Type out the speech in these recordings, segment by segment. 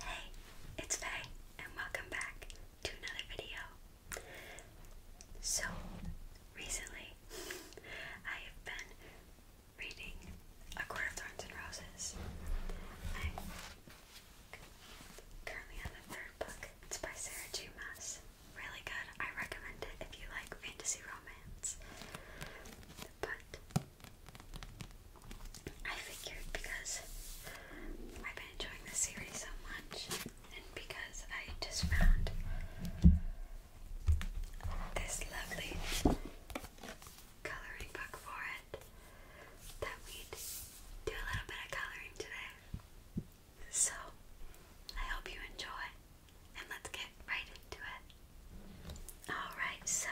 Hey, it's Faye, and welcome back to another video. So, recently I have been reading A Court of Thorns and Roses. I'm currently on the third book. It's by Sarah J. Maas. Really good. I recommend it if you like fantasy romance. But I figured because I've been enjoying this series so much, and because I just found this lovely coloring book for it, that we'd do a little bit of coloring today. So, I hope you enjoy, and let's get right into it. Alright, so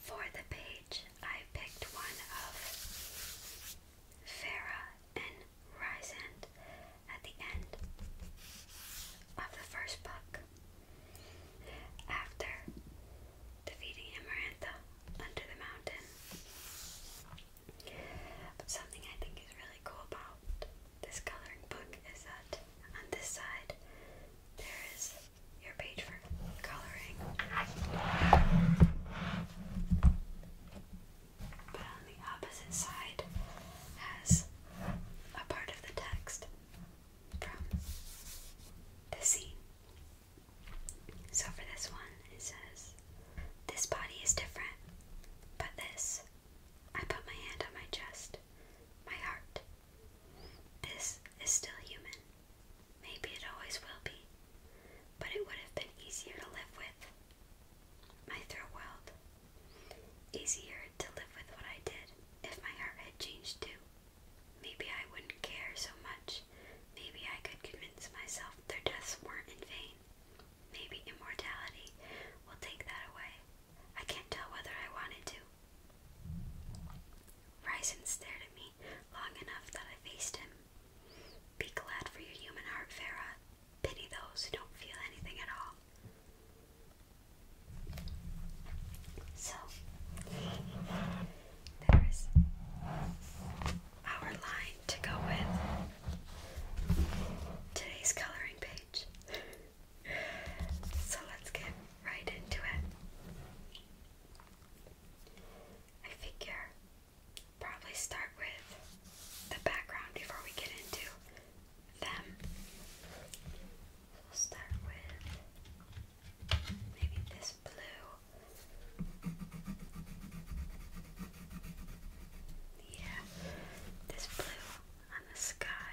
for the page, I picked one of Farah and Rysand at the end of the first book. After defeating Amarantha under the mountain. But something I think is really cool about this coloring book is that on this side there is your page for coloring. But on the opposite side has a part of the text from the scene. So for this one, it says, This body is different, but this. I put my hand on my chest, my heart. This is still human, Maybe it always will be, but it would have been easier to live with my throat world. Easier to live with what I did if my heart had changed too. Maybe I wouldn't care so much. Maybe I could convince myself their deaths weren't in vain. Maybe immortality will take that away. I can't tell whether I wanted to. Ryzen stared at me long enough that I faced him. Be glad for your human heart, Farah. Pity those who don't feel anything at all. So, there's our line to go with today's coloring page. so let's get right into it. I figure probably start with the background before we get into them. We'll start with maybe this blue. Yeah, this blue on the sky.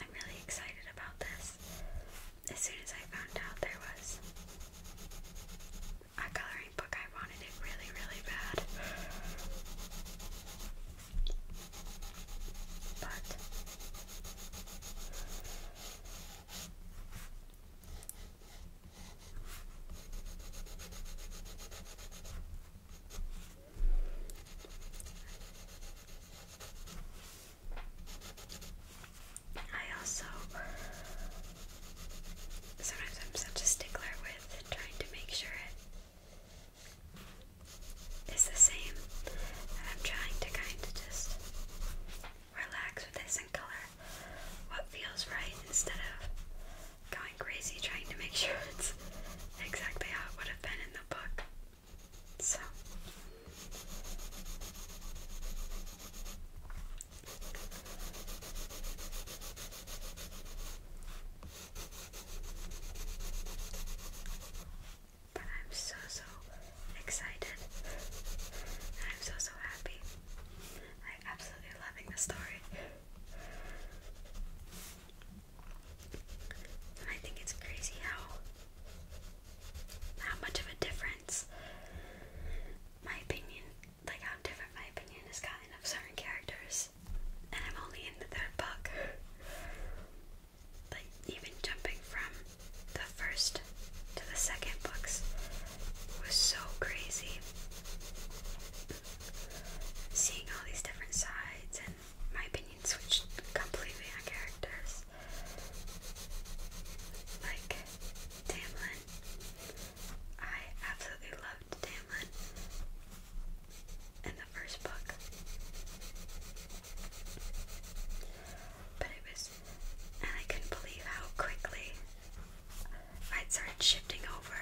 I'm really excited about this. As soon as I found out there was a coloring book, I wanted it really, really bad. But I also sometimes I'm such a stickler with trying to make sure it is the same. I'm trying to kind of just relax with this and color what feels right instead of going crazy trying to make sure it's exactly how it would have been in the book. So but I'm so so excited. I'm so so happy. I'm absolutely loving the story. I think it's crazy how how much of a difference my opinion like how different my opinion has gotten of certain characters. And I'm only in the third book. Like even jumping from the the first to the second books was so crazy. Seeing all these different sides and my opinion switched completely on characters. Like Tamlin. I absolutely loved Tamlin in the first book. But it was, and I couldn't believe how quickly i started shifting over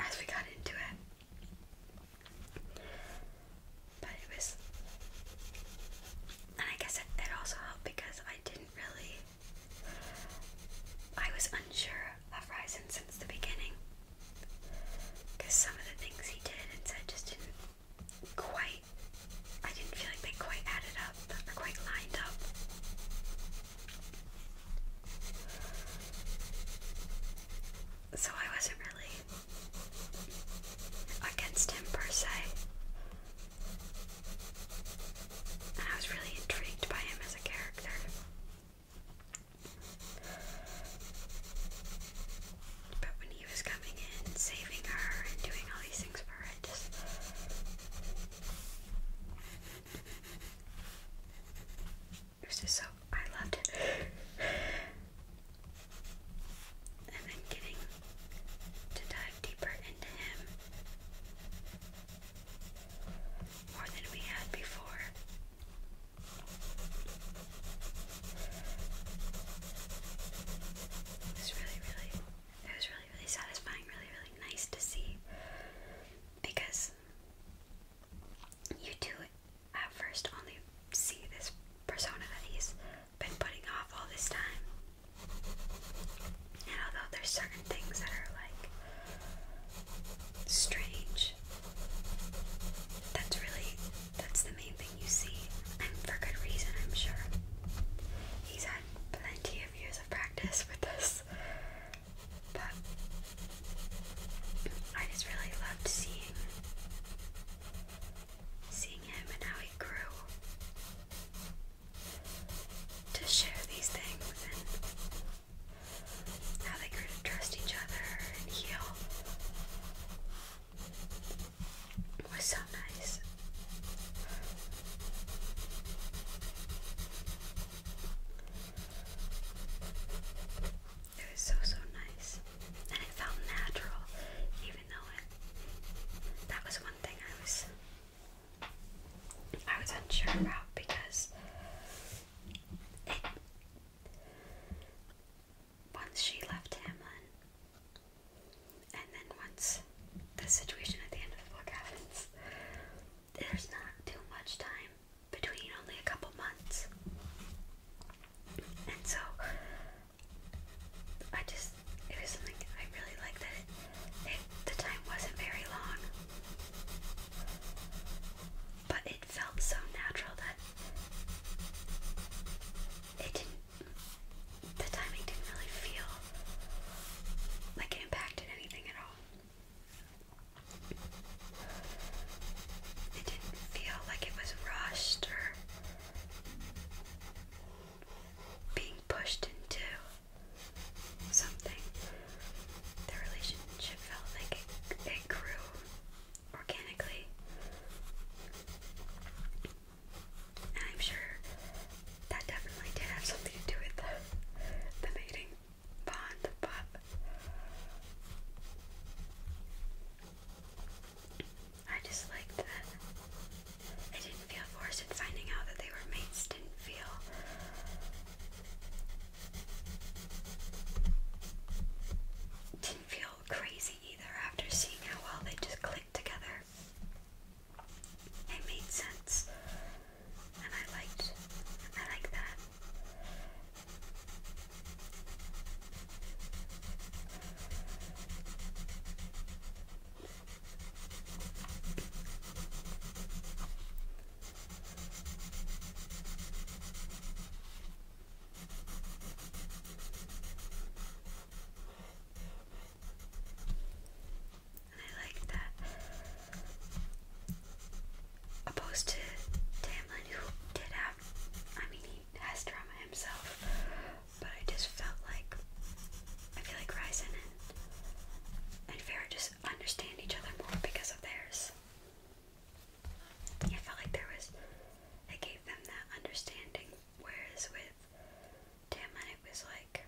as we got into it. But it was, and I guess it also helped because I didn't really, I was unsure of Ryzen since the beginning. Because some of the things he did and said just didn't quite I didn't feel like they quite added up they're quite lined up. So I wasn't really against him per se. And I was really intrigued by him as a character. But when he was coming in, saving her, and doing all these things for so I loved it. and then getting to dive deeper into him more than we had before. It was really, really, it was really, really satisfying, really, really nice to see because you do at first only see this persona that he's been putting off all this time. And although there's certain things that are like strange, that's really that's the main thing you see, and for good reason, I'm sure. He's had plenty of years of practice with this, but I just really loved seeing seeing him and how he grew to share these things and how they grew to trust each other and heal. It was so nice. It was so so nice, and it felt natural, even though it. That was one thing I was. I was unsure about because Once she left Hamlin, and then once the situation at the end of the book happens, there's not too much time between, only a couple months. And so, I just, it was something I really liked that the time wasn't very long. But it felt so natural that it didn't, the timing didn't really feel like it impacted it didn't feel like it was rushed or being pushed into something. The relationship felt like it, it grew organically. And I'm sure that definitely did have something to do with the, mating bond, but I just liked that I didn't feel forced in finding out that they were mates, didn't feel didn't feel crazy either after seeing how well they just clicked together. It made sense, and I liked. I like that. I like that. Opposed to Tamlin, who did have, I mean, he has drama himself, but I just felt like, I feel like Ryzen and, and Farrah just understand each other more because of theirs. I felt like there was, it gave them that understanding, whereas with Tamlin, it was like,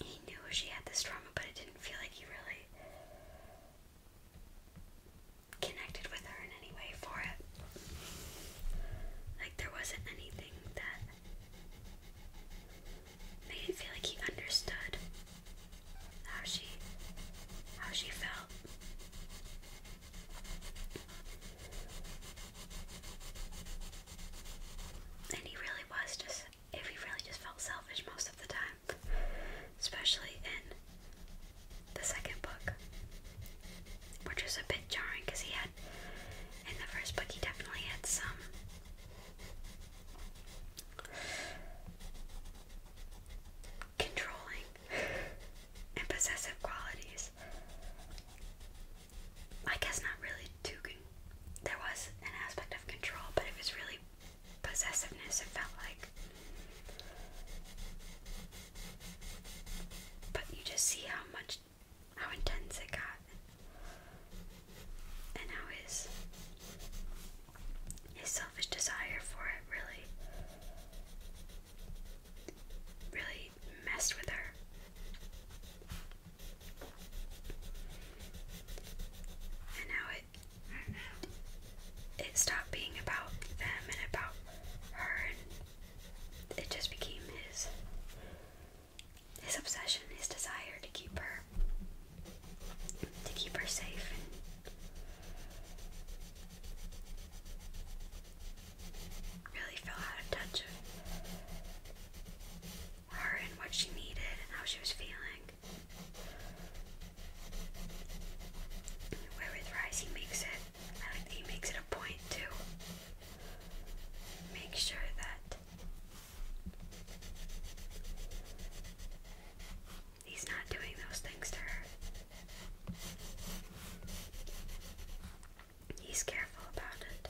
he knew she had this trauma, but it didn't feel like he really connected with her in any way for it. Like there wasn't anything that made it feel like he understood how she how she felt. And he really was just if we really just felt selfish most of the time, especially in the second book, which was a bit jarring because he had, in the first book, he definitely had some. Controlling and possessive qualities. I guess not really too controlling there was an aspect of control, but it was really possessiveness, it felt like. But you just see how much, how intense it got, and how his, his selfish desire for it really, really messed with her. And now it it stopped being about them and about her and it just became his his obsession, his desire to keep her to keep her safe and really fell out of touch her and what she needed and how she was feeling. Where with rice, he makes it. I like he makes it a point to make sure that he's not doing those things to her. He's careful about it.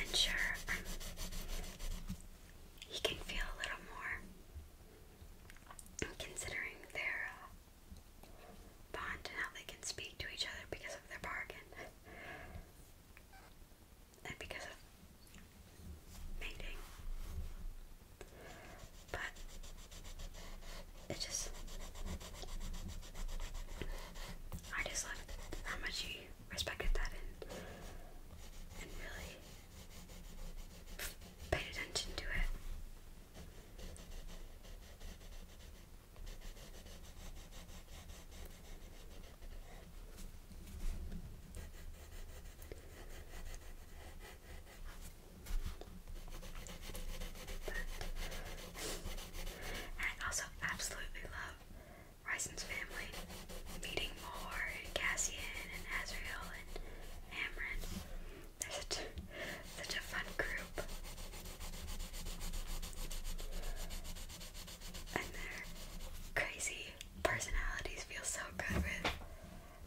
And sure, he can feel a little more considering their uh, bond and how they can speak to each other because of their bargain and because of mating. But it just I just loved how much you respected that and really paid attention to it. But I also absolutely love Rison's family. Meeting Moore and Cassian and Azrael and Amran. They're such a fun group. And their crazy personalities feel so good with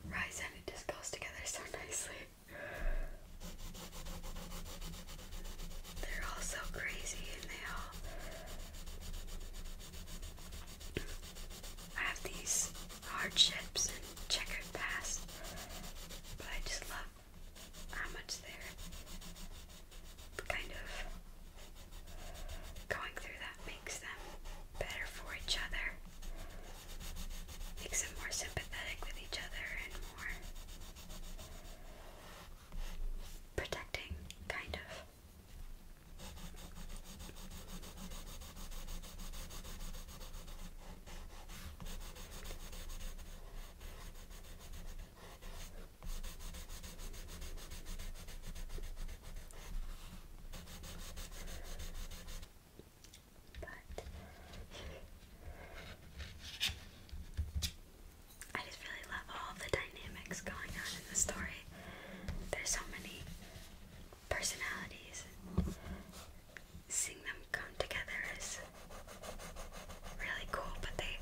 rise and it just goes together so nicely. They're all so crazy and they all have these hardships and checkered past. But I just love how much they're kind of going through that makes them better for each other, makes them more sympathetic with each other and more protecting, kind of. I just really love all the dynamics going on in the story. There's so many personalities. Seeing them come together is really cool, but they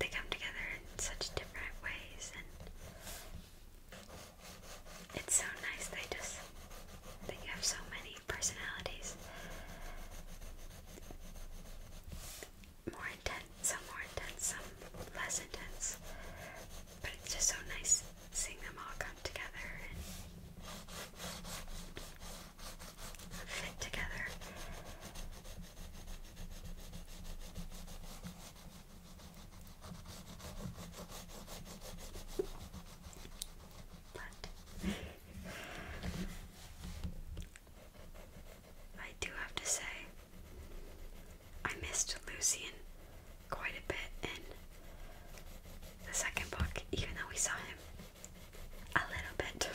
they come together in such different ways it's so nice. They just they have so many personalities. More intense, some more intense, some less intense. But it's just so nice seeing them all come together and fit together. But I do have to say, I missed Lucien quite a bit in the second book, even though we saw him a little bit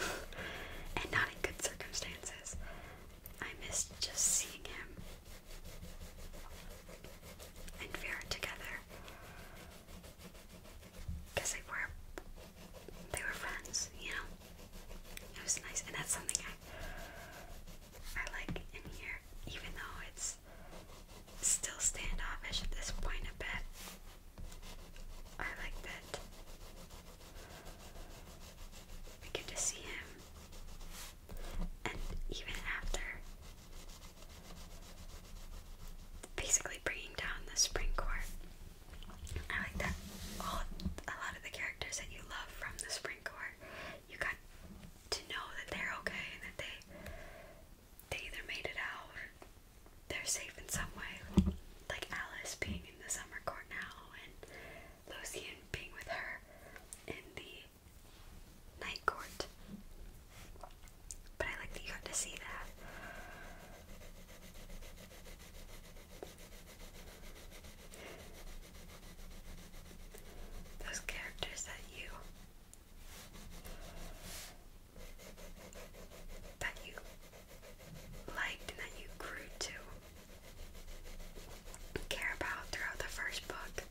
and not in good circumstances. I missed just seeing him and Vera together because they were they were friends, you know. It was nice, and that's something I I like in here, even though it's still standoffish at this point a bit. I like that. We get to see him and even after basically bringing down the Supreme Court. I like that all a lot of the characters that you love from the Supreme Court, you got to know that they're okay that they they either made it out they're safe in some way. Like Alice being in the summer court now and Lucy and being with her in the Night Court. But I like that you got to see that. Those characters that you that you liked and that you grew to care about throughout the first book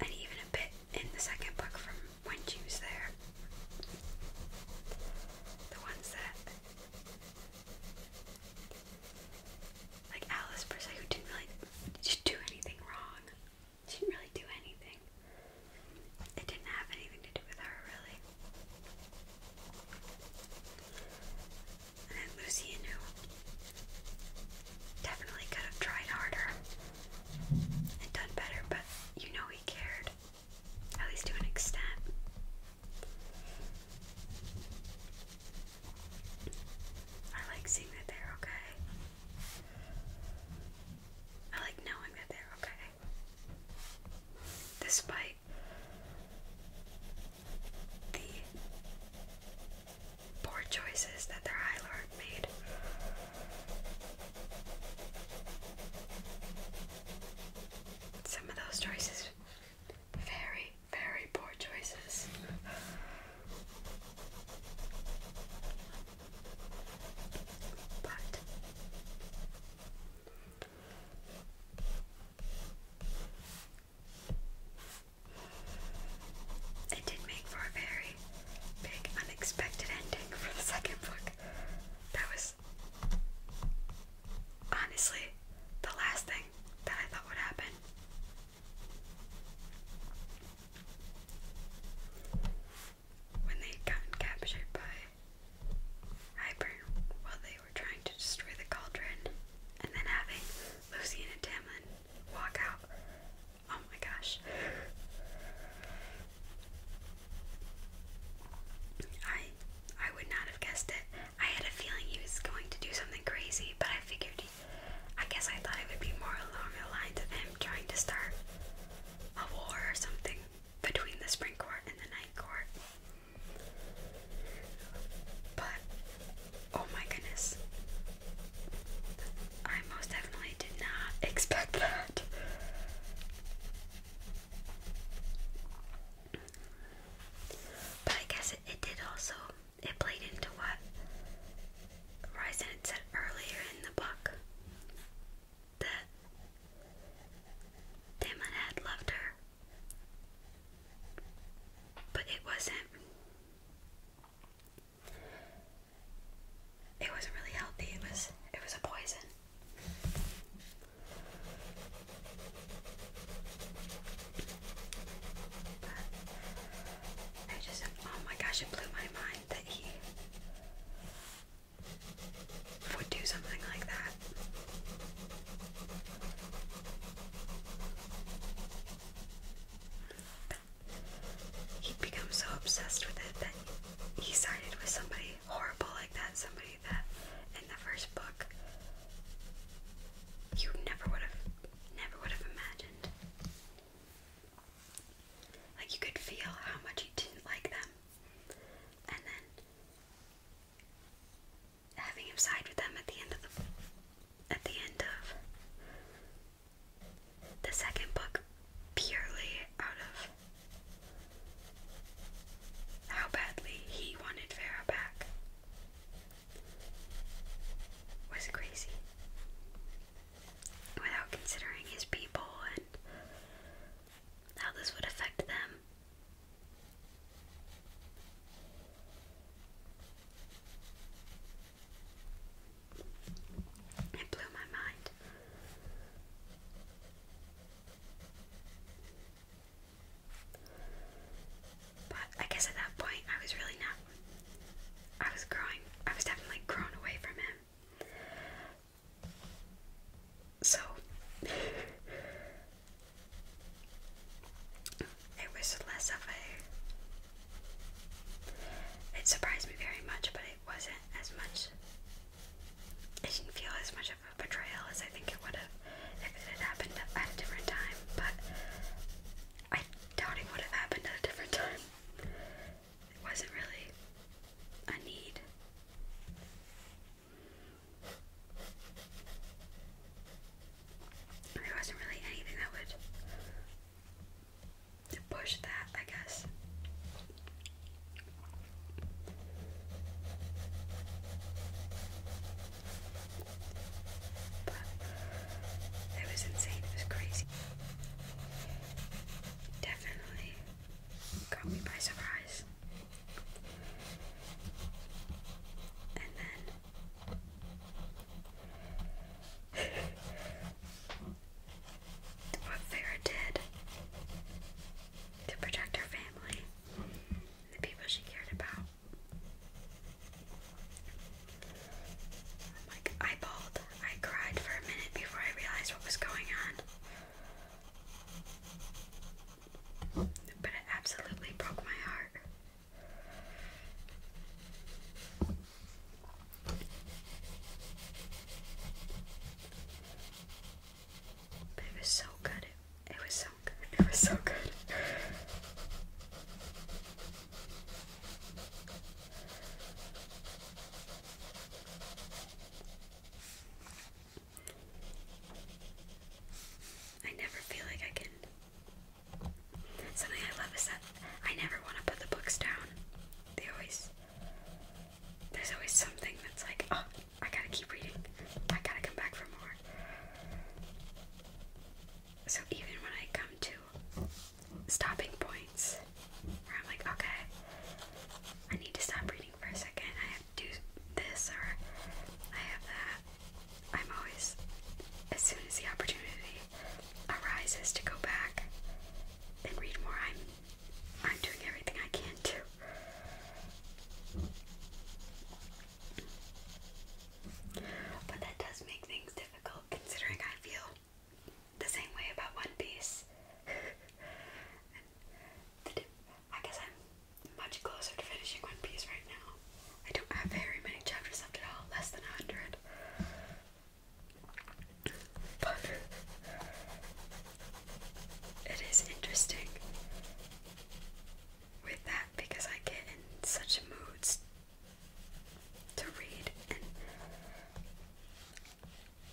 and even a bit in the second book from when she was there. The ones that, like Alice per se, who didn't really do anything wrong. didn't really do anything. It didn't have anything to do with her, really. And then Lucy and who Definitely could have tried harder and done better, but you know he cared, at least to an extent. I like seeing that they're okay. I like knowing that they're okay. Despite the poor choices that their High Lord made. Some of those choices, very, very poor choices. But it did not make for a very big, unexpected ending for the second book. That was honestly the last thing that I thought would happen. When they got captured by Hibern while they were trying to destroy the cauldron, and then having Lucy and Tamlin walk out Oh my gosh. I I would not have guessed it. I had a feeling he was going to do something crazy, but I figured I guess I thought it would be more along the lines of him trying to start a war or something between the spring court and the night court. But oh my goodness. I most definitely did not expect that. But I guess it, did also, it played into what Ryzen had said earlier in the book that Damon had loved her. But it wasn't. It wasn't really healthy. It was it was a poison. I just oh my gosh, it blew my mind that he would do something like that he'd become so obsessed with it that he sided with somebody horrible like that, somebody that in the first book you never would have never would have imagined. Like you could feel how much you didn't like them. And then having him side with them at the end of the at the end of the second book purely out of how badly he wanted Farah back was crazy. Without considering his people and how this would affect them. It blew my mind. But I guess at that point I was really not. I was growing. I was definitely grown away from him. So it was less of a it surprised me very much, but it wasn't as much. It didn't feel as much of a betrayal as I think it would have if it had happened at a different time, but I doubt it would have happened at a different time. It wasn't really a need. There wasn't really anything that would to push that, I guess. But it was insane, it was crazy. Definitely got me by surprise. And then what Farah did to protect her family the people she cared about. I'm I cried for a minute before I realized what was going on. But it absolutely broke my heart. But it was so good. It, it was so good. It was so good. I never feel like I can. Something I love is that I never want to put the books down. They always there's always something that's like, oh, I gotta keep reading. I gotta come back for more. So even when I come to stopping points where I'm like, okay, I need to stop reading for a second, I have to do this or I have that, I'm always, as soon as the opportunity arises to go back and read more, I'm I'm doing everything I can to. But that does make things difficult considering I feel the same way about One Piece. I guess I'm much closer to finishing One Piece right now. I don't have very many chapters left at all, less than a hundred. But it is interesting with that because I get in such moods to read and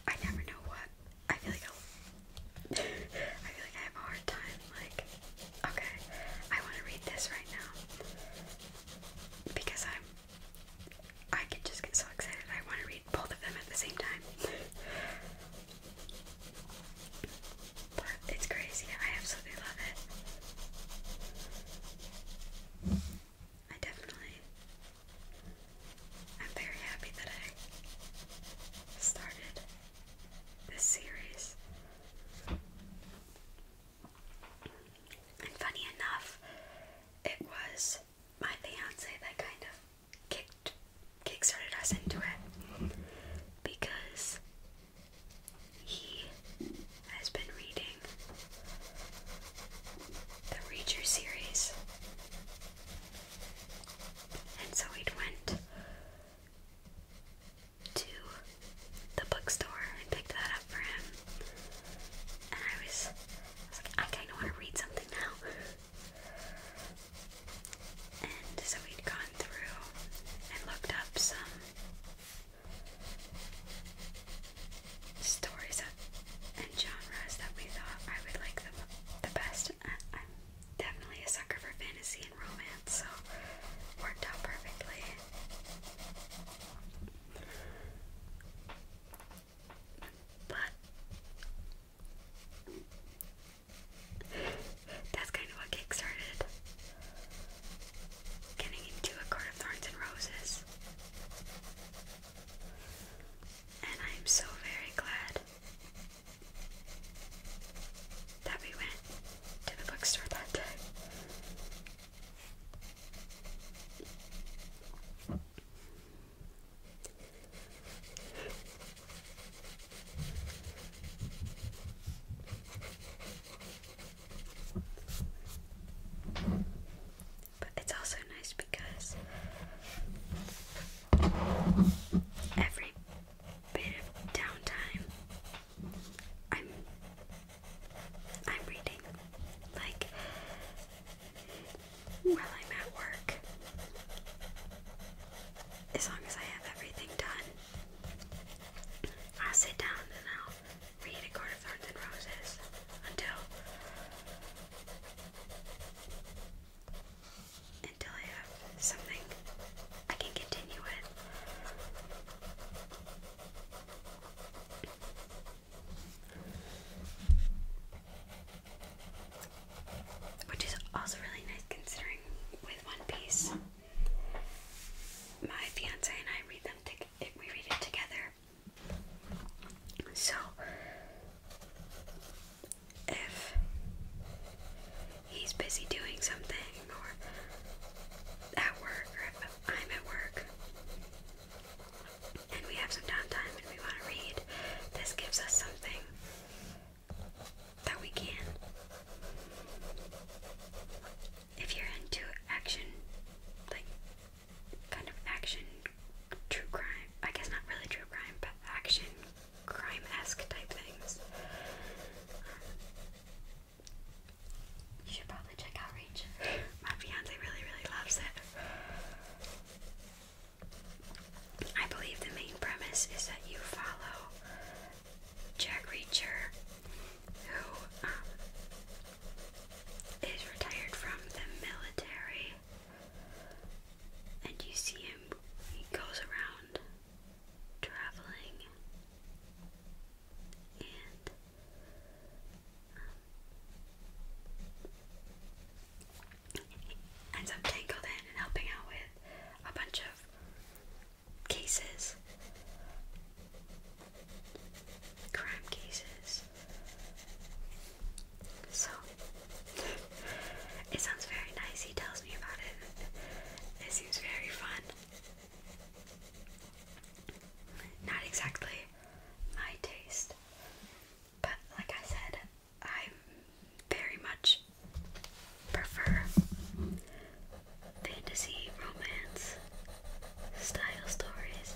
I never know what I feel like i feel like I have a hard time like okay I want to read this right now because I'm I could just get so excited. I want to read both of them at the same time. but it's crazy. I absolutely love it. I definitely. I'm very happy that I started this series. And funny enough, it was my fiance that kind of kicked kickstarted us into it because he has been reading the Reacher series. And so we went to the bookstore and picked that up for him. And I was I, kind of want to read something now. And so we'd gone through and looked up some stories and genres that we thought I would like the, the best. I'm definitely a sucker for fantasy and romance, so worked out perfectly. But that's kind of what kickstarted getting into a Court of Thorns and Roses. And I am so very glad that we went to the bookstore that day. But it's also nice because every bit of downtime I'm I'm reading. Like while I'm at work. As long as I have everything done, I'll sit down and I'll read A Court of Thorns and Roses until until I have something I can continue with. Which is also really nice considering with One Piece, my fiance and I read them we read it together. So if he's busy doing something or at work or if I'm at work, and we have some downtime and we want to read, this gives us something that we can. If you're into action, like kind of action, true crime, I guess not really true crime, but action, crime esque type things, um, you should probably check Outreach. My fiance really, really loves it. I believe the main premise is that you follow Jack Reacher, who um, is retired from the military, and you see him, he goes around traveling um, ends up tangled in and helping out with a bunch of cases, crime cases. So it sounds very nice. He tells me about it. It seems very fun. Not exactly my taste, but like I said, I very much prefer fantasy romance style stories.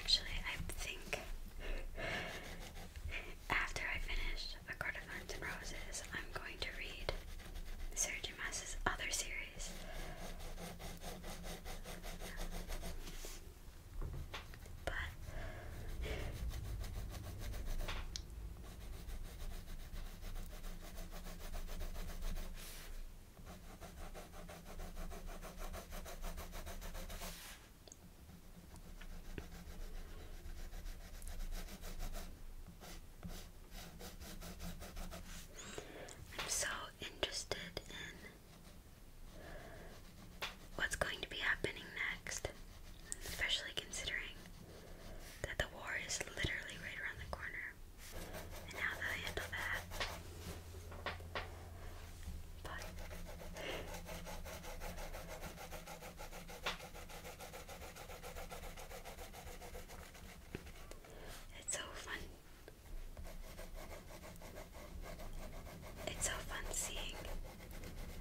actually, I think after I finish A Court of Thorns and Roses, I'm going to read Sarah Mas's other series. But I'm so interested in what's going to be happening next, especially considering that the war is literally right around the corner and how they'll handle that. But it's so fun. It's so fun seeing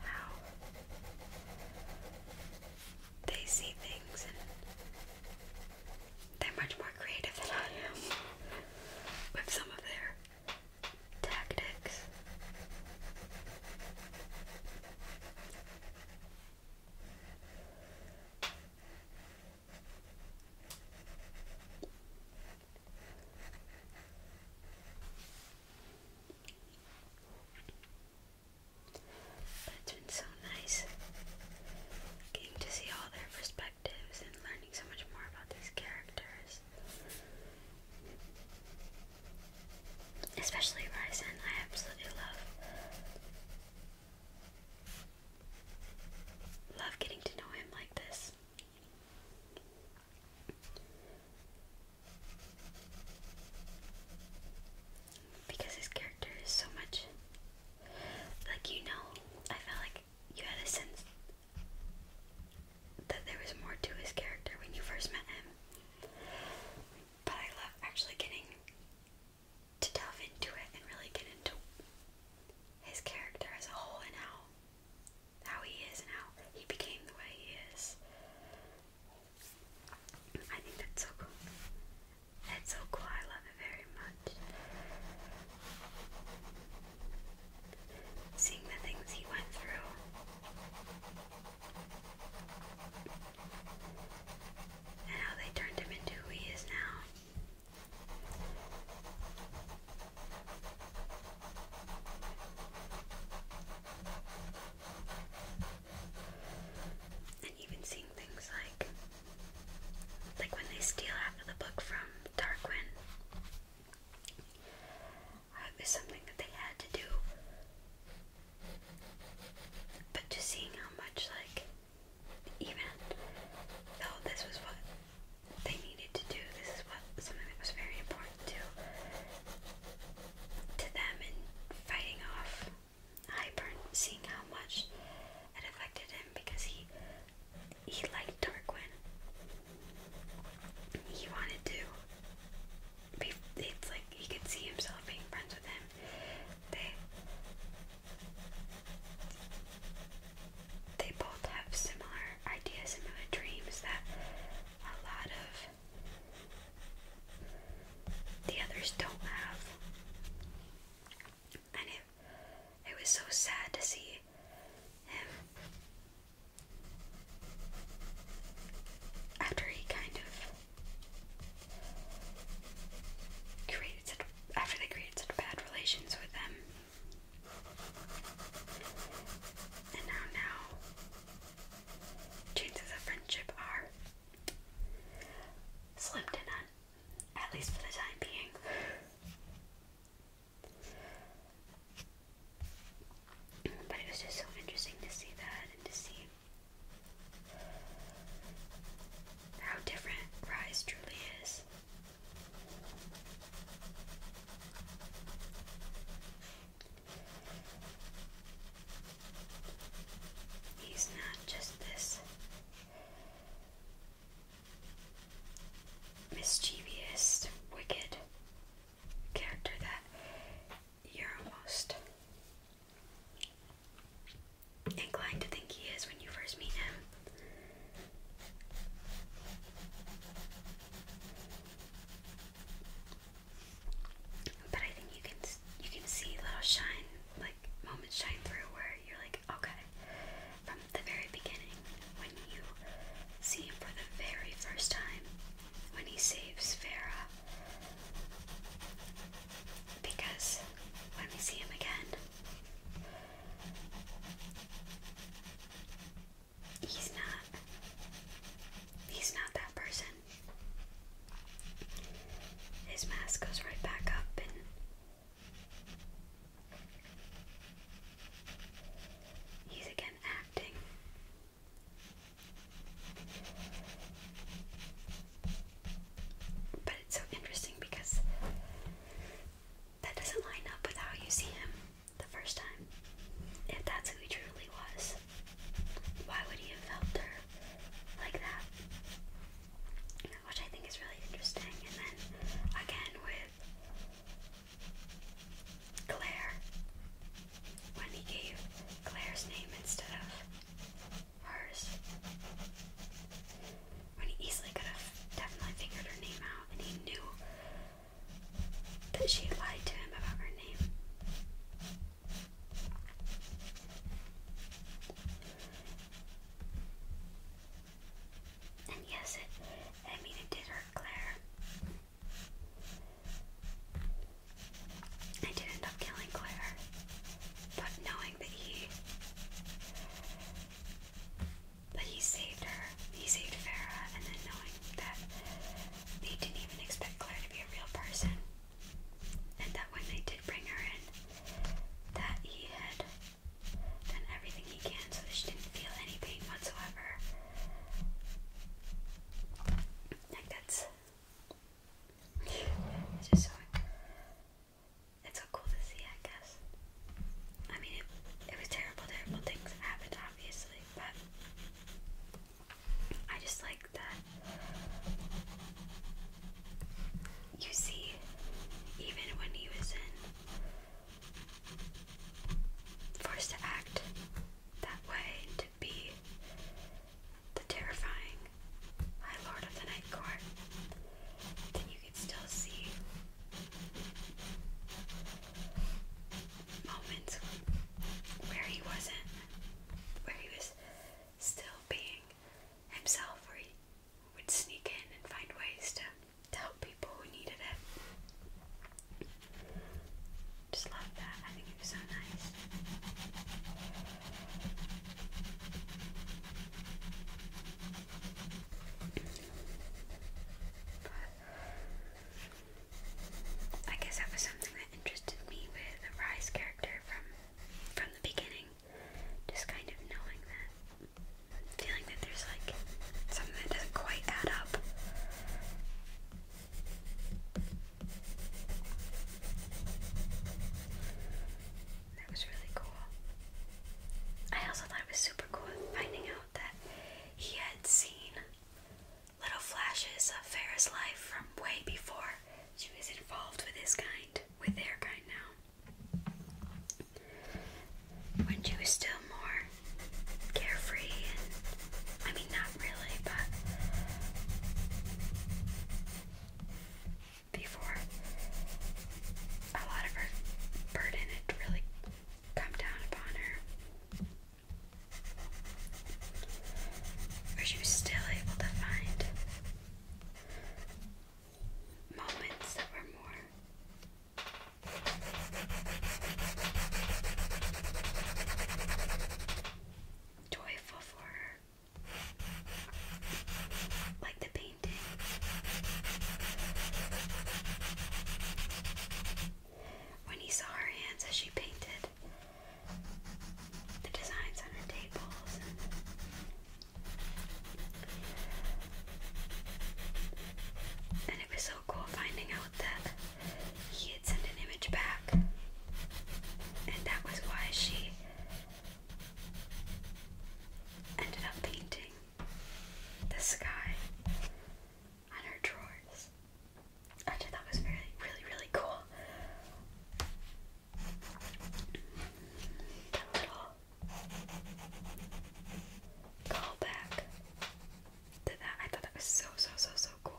how they see things they're much more creative than I am with some of their tactics. But it's been so nice getting to see all their perspectives and learning so much more about these characters. Especially Ryzen, I absolutely love love getting to know him like this because his character is so much like you know, I felt like you had a sense that there was more to his character when you first met him. But I love actually getting to delve into it and really get into his character as a whole and how how he is and how he became the way he is. I think that's so cool. It's so cool, I love it very much. Seeing the things he went through. And how they turned him into who he is now. And even seeing things like like when they steal half of the book from Tarquin. Uh, something that they had to do. But just seeing how much, like, even though this was what they needed to do, this is what something that was very important to to them in fighting off Hibern, seeing how much it affected him because he he liked Tarquin. He wanted to. Be, it's like he could see himself being friends with him. They they both have similar ideas, similar dreams that a lot of the others don't have and it, it was so sad to see him after he kind of created after they created such bad relations with them. And how now chances of friendship are slim to none. At least for the time being. But it was just so interesting to see that and to see how different Rise truly is. He's not just this mischievous, wicked character that you're almost inclined to think he is when you first meet him. But I think you can you can see little shine like moments shine through where you're like, Okay. From the very beginning, when you see him for the very first time, when he saves Farah. Because when we see him again, he's not he's not that person. His mask goes right back up and He's again acting. But it's so interesting because that doesn't line up with how you see him the first time. If that's who he truly was, why would he have felt her like that? which I think is really interesting. And then again with Claire, when he gave Claire's name instead of hers, when he easily could have definitely figured her name out, and he knew that she lied to him about her name. And yes, it, I mean, it did hurt Claire. I did end up killing Claire, but knowing that he. But he saved her. He saved Farah, and then knowing that they didn't even expect Claire to be a real person, and that when they did bring her in, that he had done everything he can so she didn't feel any pain whatsoever. Like that's it's just so it's so cool to see, I guess. I mean, it, was terrible, terrible things happened, obviously, but I just like that you see, even when he was in for to act that way to be the terrifying High Lord of the Night Court, then you can still see moments where he wasn't, where he was still being himself, would sneak in and find ways to, to help people who needed it. Just love that. I think it was so nice. I guess that was something that interested me with the Rise character from from the beginning just kind of knowing that, feeling that there's like something that doesn't quite add up. That was really cool. I also thought it was super cool finding out that he had seen little flashes of Farrah's life from way before she was involved with his kind, with their kind now. When she was still more carefree, I mean, not really, but before a lot of her burden had really come down upon her, she was still able to find moments that were more Joyful for her. Like the painting. When he saw her hands as she painted the designs on her tables and and it was so cool finding out that he had sent an image back. And that was why she ended up painting the sky on her drawers. I thought that was really, really, really cool call back to that. I thought that was so, so, so, so cool.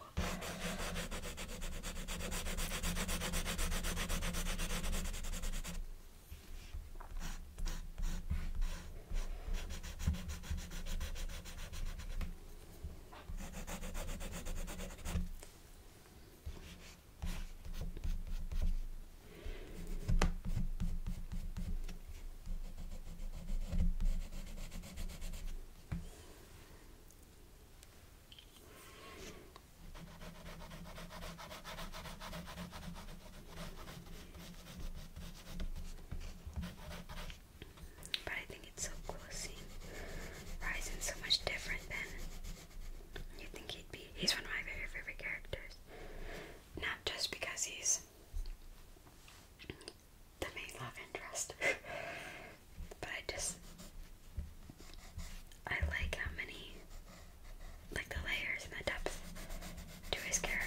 But I think it's so cool seeing Ryzen so much different than you think he'd be. He's one of my very favorite characters. Not just because he's the main love interest. but I just I like how many like the layers and the depth to his character.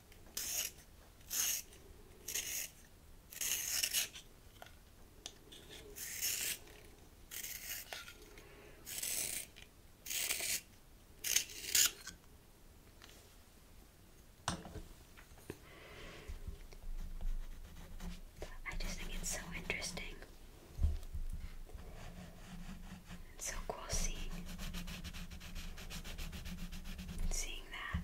I just think it's so interesting and so cool seeing seeing that.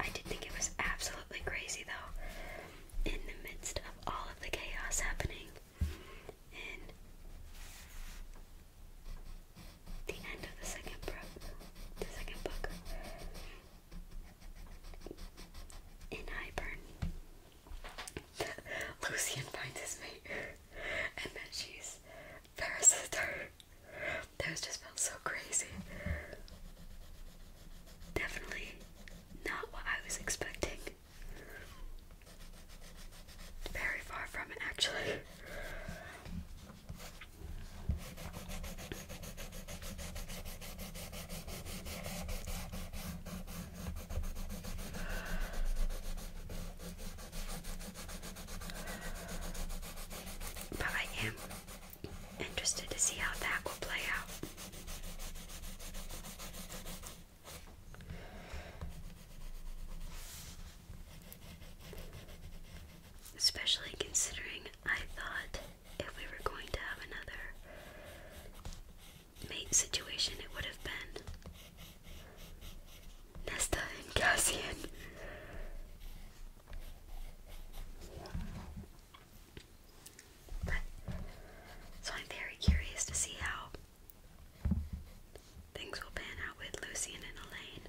I did think it was absolutely crazy though, in the midst of all of the chaos happening, in the end of the second book, the second book, in Highburn, Lucian finds his mate, and then she's parasitor. Those just felt so crazy. Definitely not what I was expecting. Very far from it, actually. But I am interested to see how that will play out. Especially considering I thought if we were going to have another mate situation, it would have been Nesta and Cassian. so I'm very curious to see how things will pan out with Lucian and Elaine.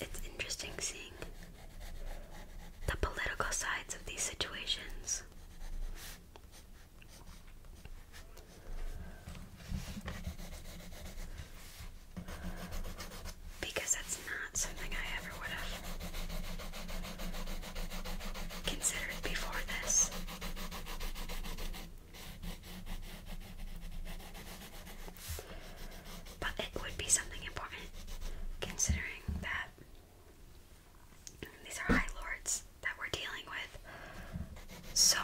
it's interesting seeing the political sides of these situations. Because that's not something I ever would have considered before this. But it would be something important considering that these are high lords that we're dealing with. So,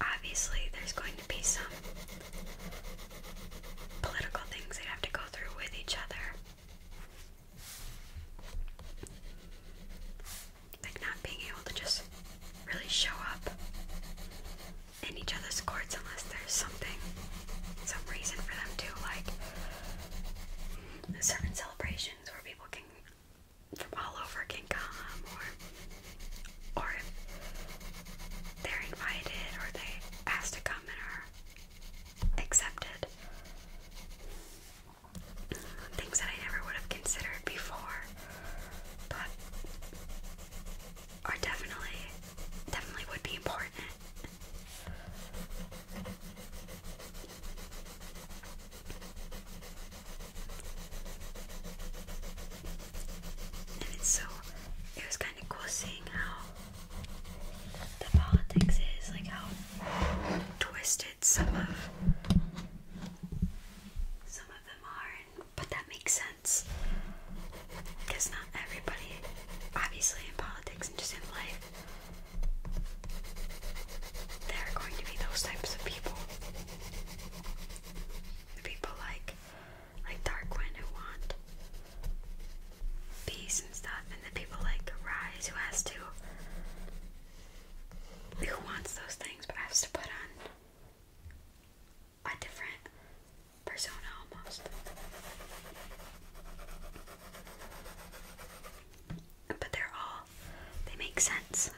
obviously, there's going to be some political things they have to go through with each other. Like not being able to just really show up in each other's courts unless there's something, some reason for them to, like certain celebrations where people can from all over can come, or or they're invited or they asked to come and accepted things that I never would have considered before, but are definitely, definitely would be important. And it's so, it was kind of cool seeing how the politics is, like how twisted limited. Some of some of them aren't, but that makes sense because not everybody, obviously, in politics and just in life, there are going to be those types of people. The people like like Darkwing who want peace and stuff, and the people like Rise who has to who wants those things but I have to put on a different persona almost? But they're all, they make sense.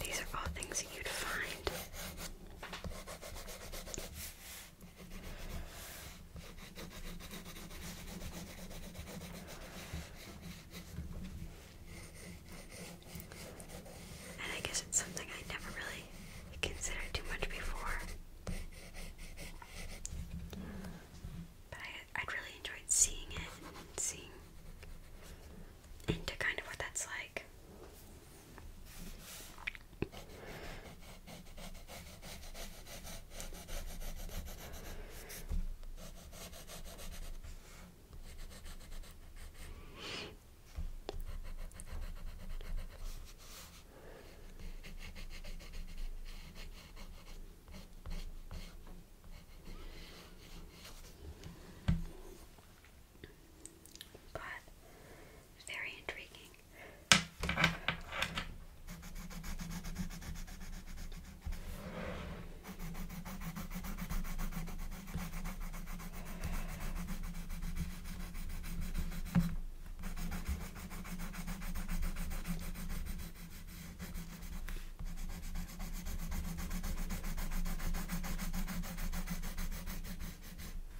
These are all things you'd find and I guess it's something I never really considered too much before. But I, would really enjoyed seeing it and seeing into kind of what that's like. God, very intriguing.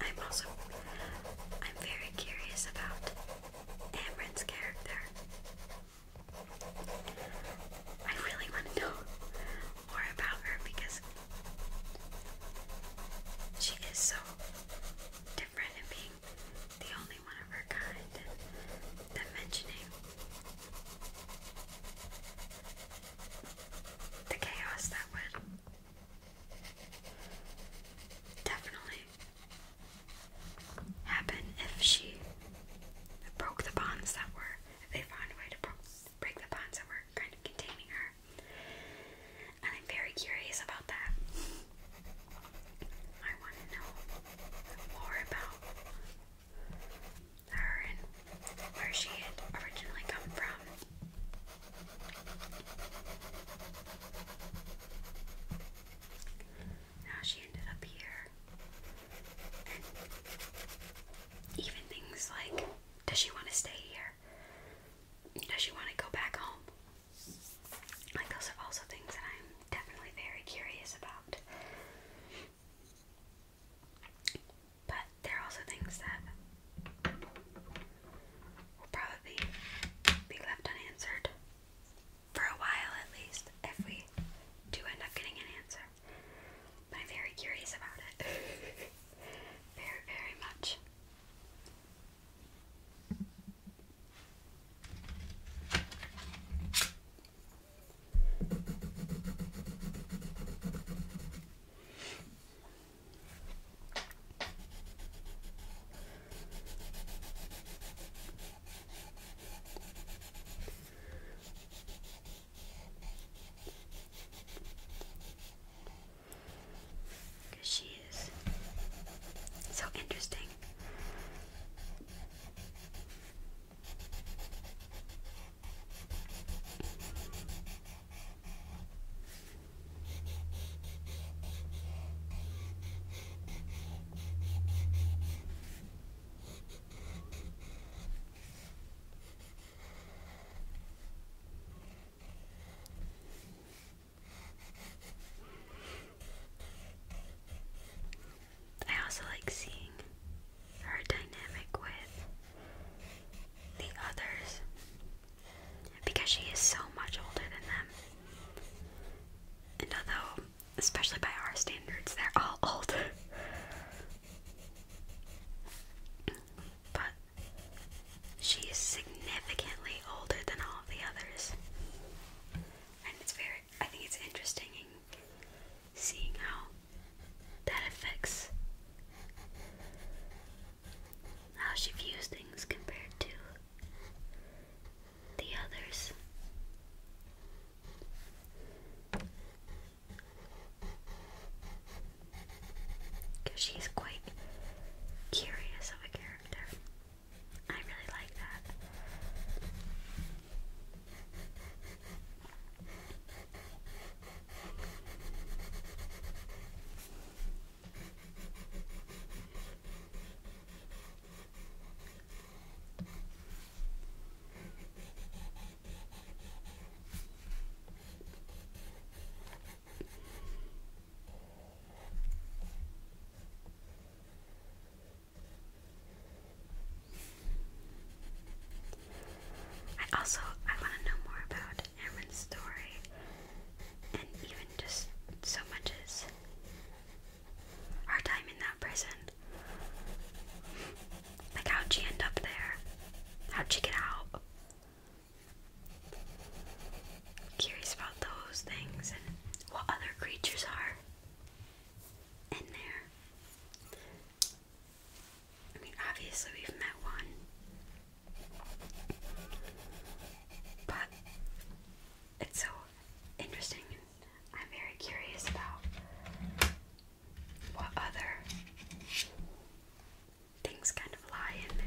I'm also I'm very curious about Amryn's character. I really want to know more about her because she is so different in being the only one of her kind and mentioning the chaos that would definitely happen if she broke the bonds that were, if they found a way to break the bonds that were kind of containing her. And I'm very curious about that. I want to know more about her and where she had originally come from. Now she ended up here. even things like does she want to stay here? Does she want to go back home? Like, those are also things that I'm definitely very curious about. But there are also things that will probably be left unanswered for a while at least if we do end up getting an answer. I'm very curious about it. very, very much. Because she is so interesting. I also like seeing her dynamic with the others because she is so much older than them. And although, especially by our standards, they're all old. but she is significantly older than all the others. And it's very, I think it's interesting in seeing how that affects how she views things compared to the others. Because she's quite curious of a character. I really like that. I also I want to know more about Aaron's story and even just so much as our time in that prison. Like, how'd she end up there? How'd she get out? Curious about those things and what other creatures are in there. I mean, obviously, we've met one, but it's so interesting, and I'm very curious about what other things kind of lie in there.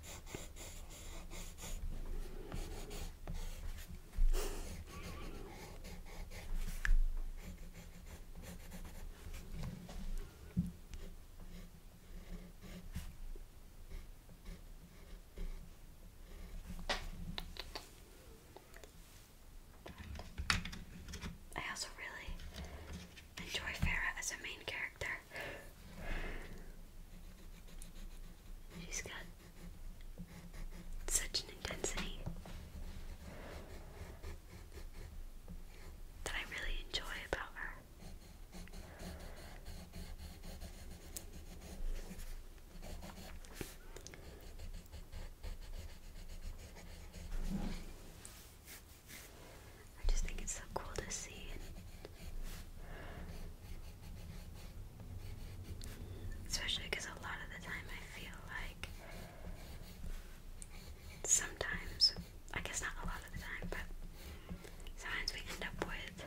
I also really enjoy Farah as a main character. She's got such an intensity that I really enjoy about her. I just think it's so cool to see Especially because a lot of the time I feel like sometimes, I guess not a lot of the time, but sometimes we end up with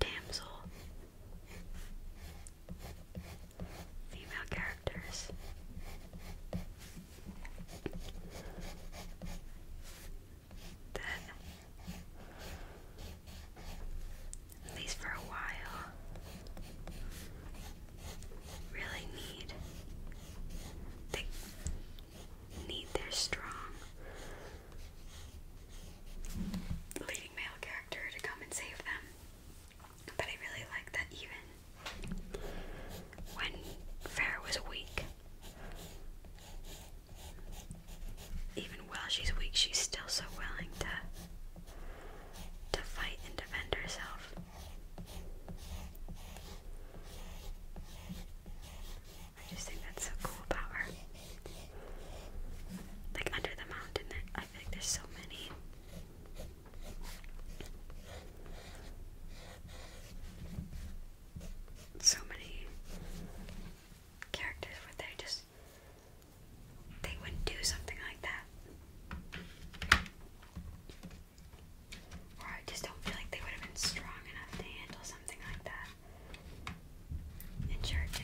damsel female characters that, at least for a while, really need. They need their strong leading male character to come and save them. But I really like that even when Farrah was weak, even while she's weak, she's still so willing to to fight and defend herself. I just think that's so cool about her. Like under the mountain, I feel there's so many. So many characters where they just they wouldn't do something like that. Or I just don't feel like they would have been strong enough to handle something like that. In church,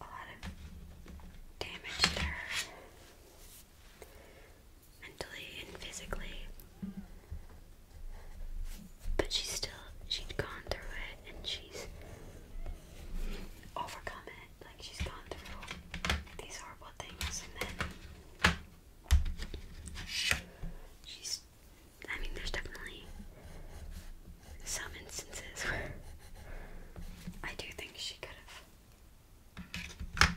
a lot of damage to mentally and physically. But she's still she has gone through it and she's overcome it. Like she's gone through these horrible things and then she's I mean there's definitely some instances where I do think she could have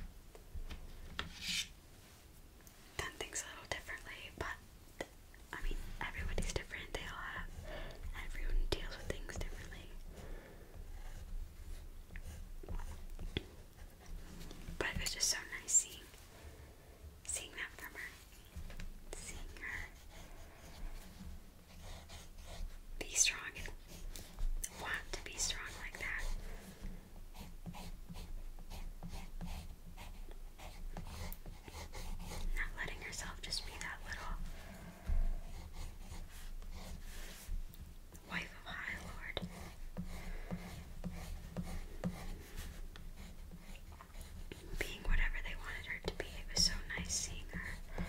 done things a little differently, but I mean, everybody's different. They all have, everyone deals with things differently. But it was just so nice seeing, seeing that from her, seeing her be strong and want to be strong like that. Not letting herself just be that little wife of High Lord. Being whatever they wanted her to be, it was so nice seeing her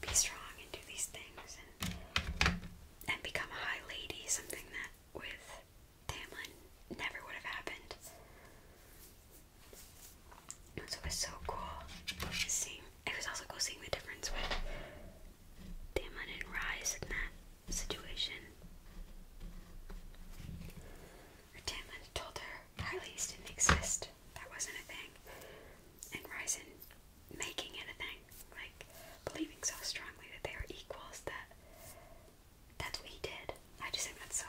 be strong and do these things and become a high lady, something that with Tamlin never would have happened. it was so cool seeing. It was also cool seeing the difference with Damon and Rise in that situation. Tamlin told her Harley's didn't exist. That wasn't a thing. And Rise in making it a thing like believing so strongly that they are equals that that's what he did. I just think that's so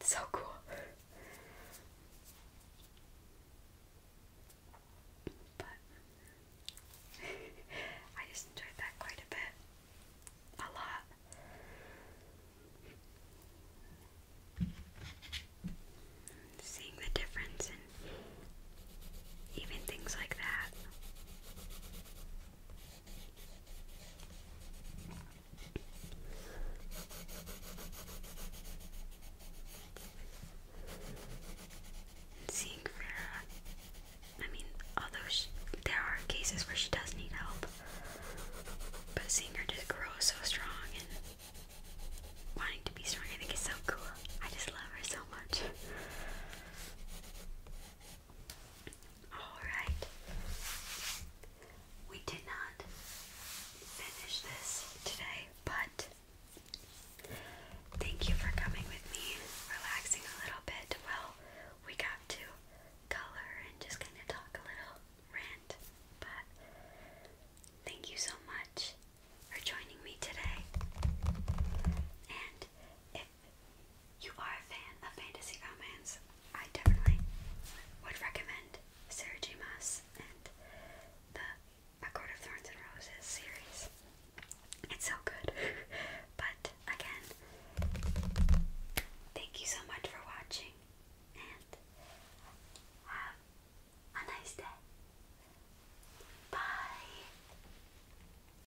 so cool. But I just enjoyed that quite a bit. A lot. Seeing the difference and even things like that. Seeing Vera, I mean, although she, there are cases where she does need help, but seeing her just grow so strong and wanting to be strong, I think is so cool. I just love her so much. Alright. We did not finish this today, but thank you for coming with me, relaxing a little bit. Well, we got to color and just kind of talk a little rant, but thank you so much for joining me today. And you are a fan of fantasy romance, I definitely would recommend Sarah J. Maas and the A Court of Thorns and Roses series. It's so good. but again, thank you so much for watching and have a nice day. Bye.